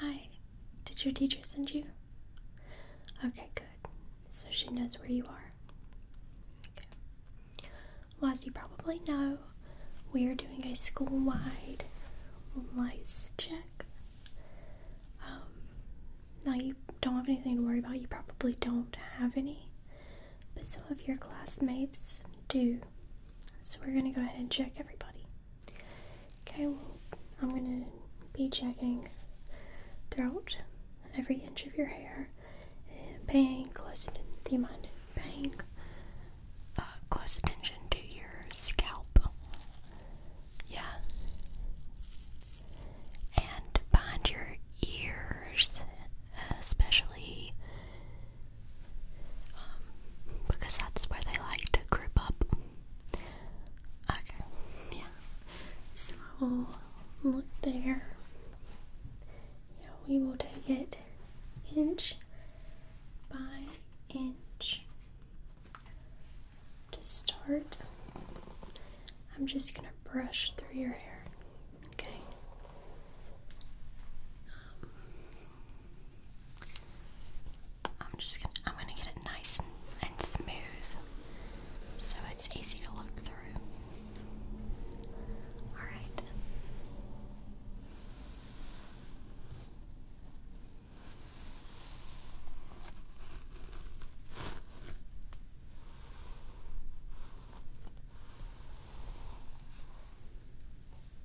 Hi, did your teacher send you? Okay, good. So she knows where you are. Well, as you probably know, we are doing a school wide lice check. Um, now, you don't have anything to worry about, you probably don't have any, but some of your classmates do. So, we're going to go ahead and check everybody. Okay, well, I'm gonna be checking throughout every inch of your hair and paying close attention. Do you mind paying uh, close attention to your scalp? Yeah. And behind your ears, especially um, because that's where they like to group up. Okay, yeah. So look there. Yeah, we will take it inch by inch. To start, I'm just gonna brush through your hair. Okay. Um, I'm just gonna I'm gonna get it nice and, smooth so it's easy to look through. Alright.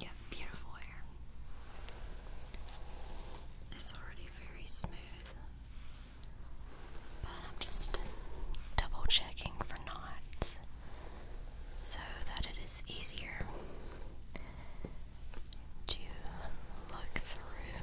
You have beautiful hair. It's already very smooth. But I'm just double checking for knots so that it is easier to look through.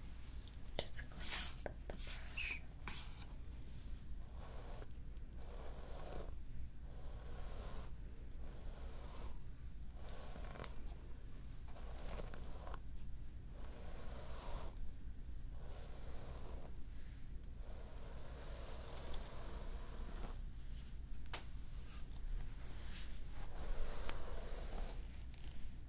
Just clean up the brush.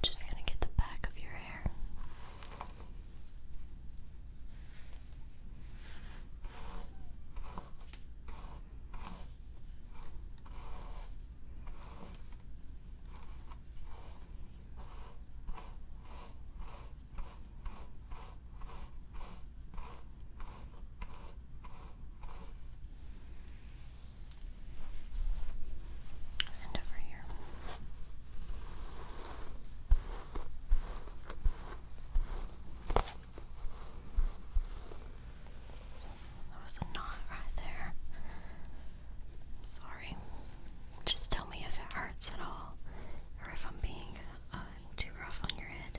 Just going to get the back of your hair. And over here. So there was a knot right there. sorry. Just tell me if it hurts at all, or if I'm being uh, too rough on your head.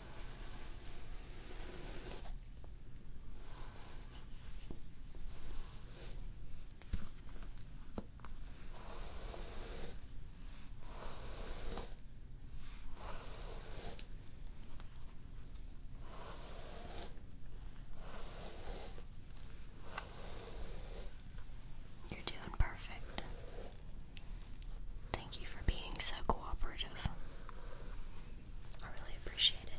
You're doing perfect. Thank you for being so cooperative. I really appreciate it. Okay.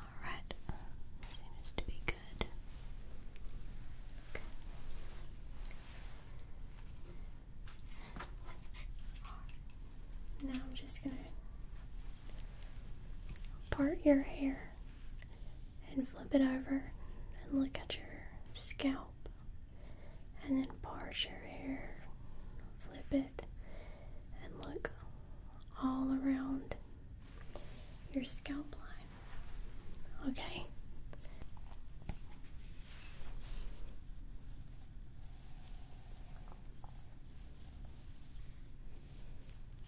Alright, seems to be good. Now I'm just gonna part your hair and flip it over and look at your scalp and then part your hair, flip it and look all around your scalp line. Okay.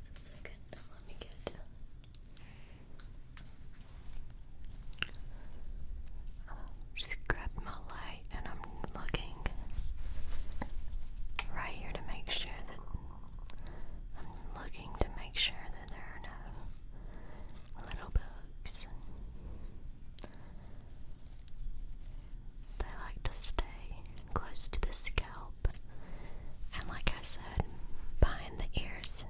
Just a second, let me get um, just grabbed my light and I'm looking right here to make sure that I'm looking to make sure that there are no little bugs. They like to stay close to the scalp and like I said, behind the ears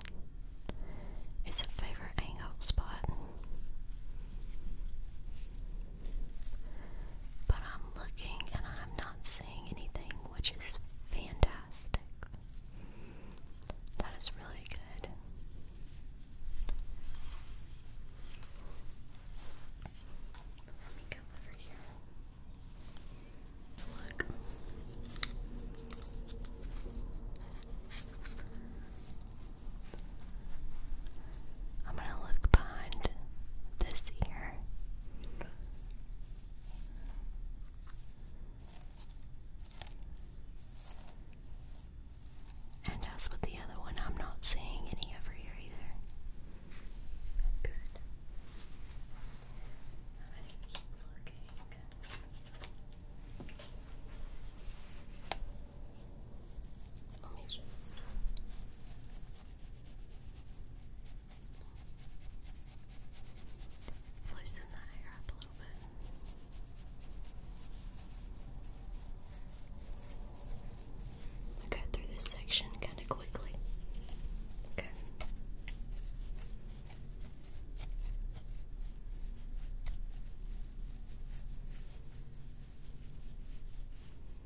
is a favorite angle spot. But I'm looking and I'm not saying anything, which is fantastic. That is really good. Let me go over here. look. I'm gonna look behind this ear. And as with the other one, I'm not seeing any over here either. Good. I'm going to keep looking. Let me just. Loosen the hair up a little bit. got through this section kind of quickly. Okay.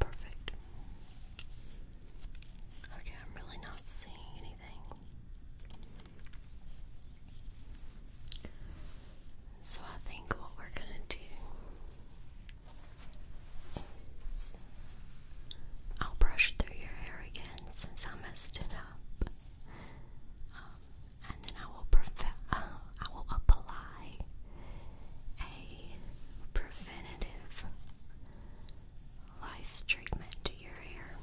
Perfect. Okay, I'm really not seeing anything. So I think what we're going to do is I'll brush through your hair again since I messed it up. Um, and then uh, I will apply a preventative lice treatment to your hair,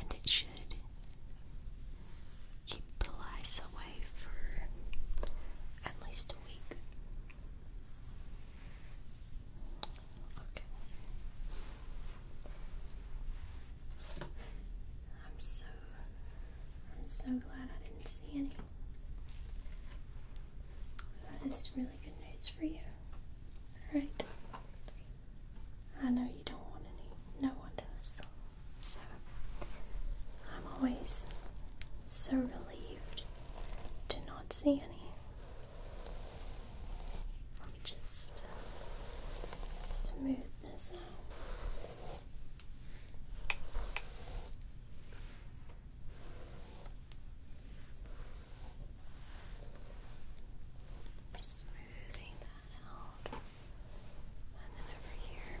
and it should keep the lice away for at least a week. I'm so I'm so glad I didn't see any. That is really good news for you. Alright. I know you don't want any. No one does. So I'm always so relieved do not see any. just uh, smooth this out. Smoothing that out. And then over here.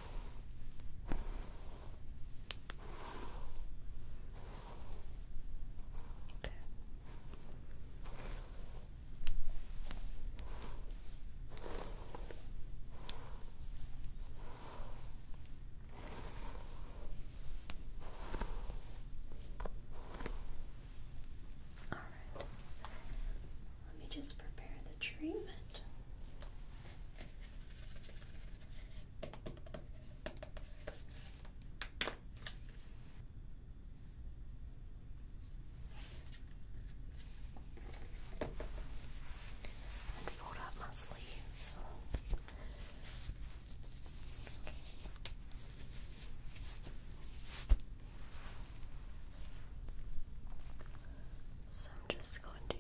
Okay. All right. Let me just prepare the treatment and fold up my sleeves. So I'm just going to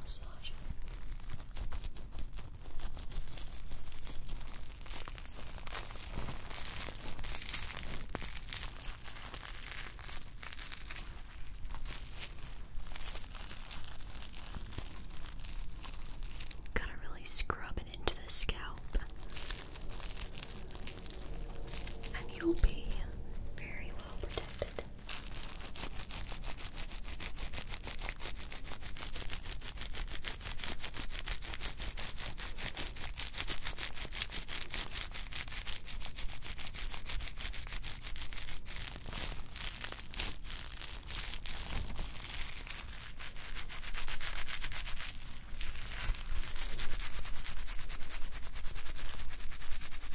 Massage it. really scrub it into the scalp and you'll be very well protected.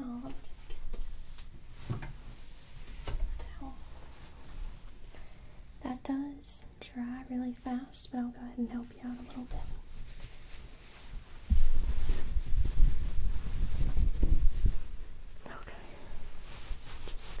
Okay. Now let me just get That does dry really fast, but I'll go ahead and help you out a little bit. Okay. Just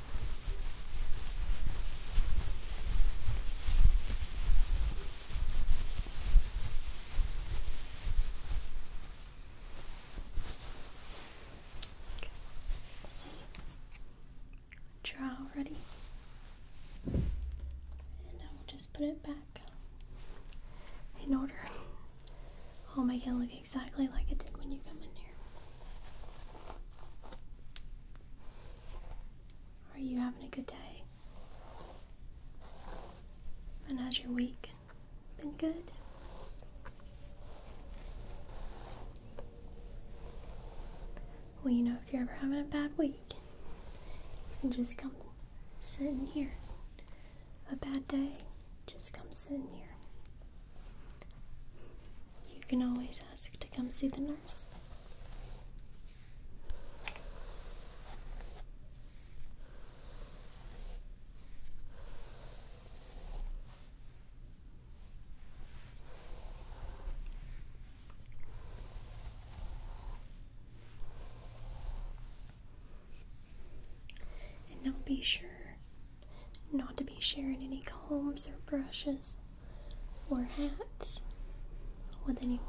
See, draw ready, and I will just put it back in order. I'll make it look exactly like it did when you come in here. Are you having a good day? And how's your week been good? Well, you know, if you're ever having a bad week, you can just come sit in here. A bad day, just come sit in here. You can always ask to come see the nurse. And now be sure not to be sharing any combs or brushes or hats with anyone.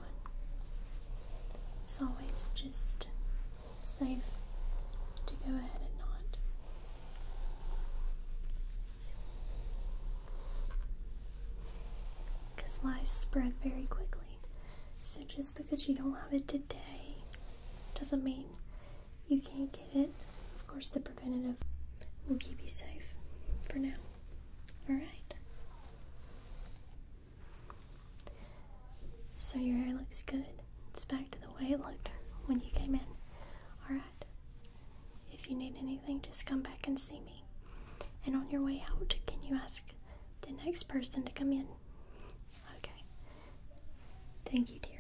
It's always just safe to go ahead and not. Because lies spread very quickly. So just because you don't have it today doesn't mean you can't get. Of course, the preventative will keep you safe for now. Alright. So your hair looks good. It's back to the way it looked when you came in. Alright. If you need anything, just come back and see me. And on your way out, can you ask the next person to come in? Okay. Thank you, dear.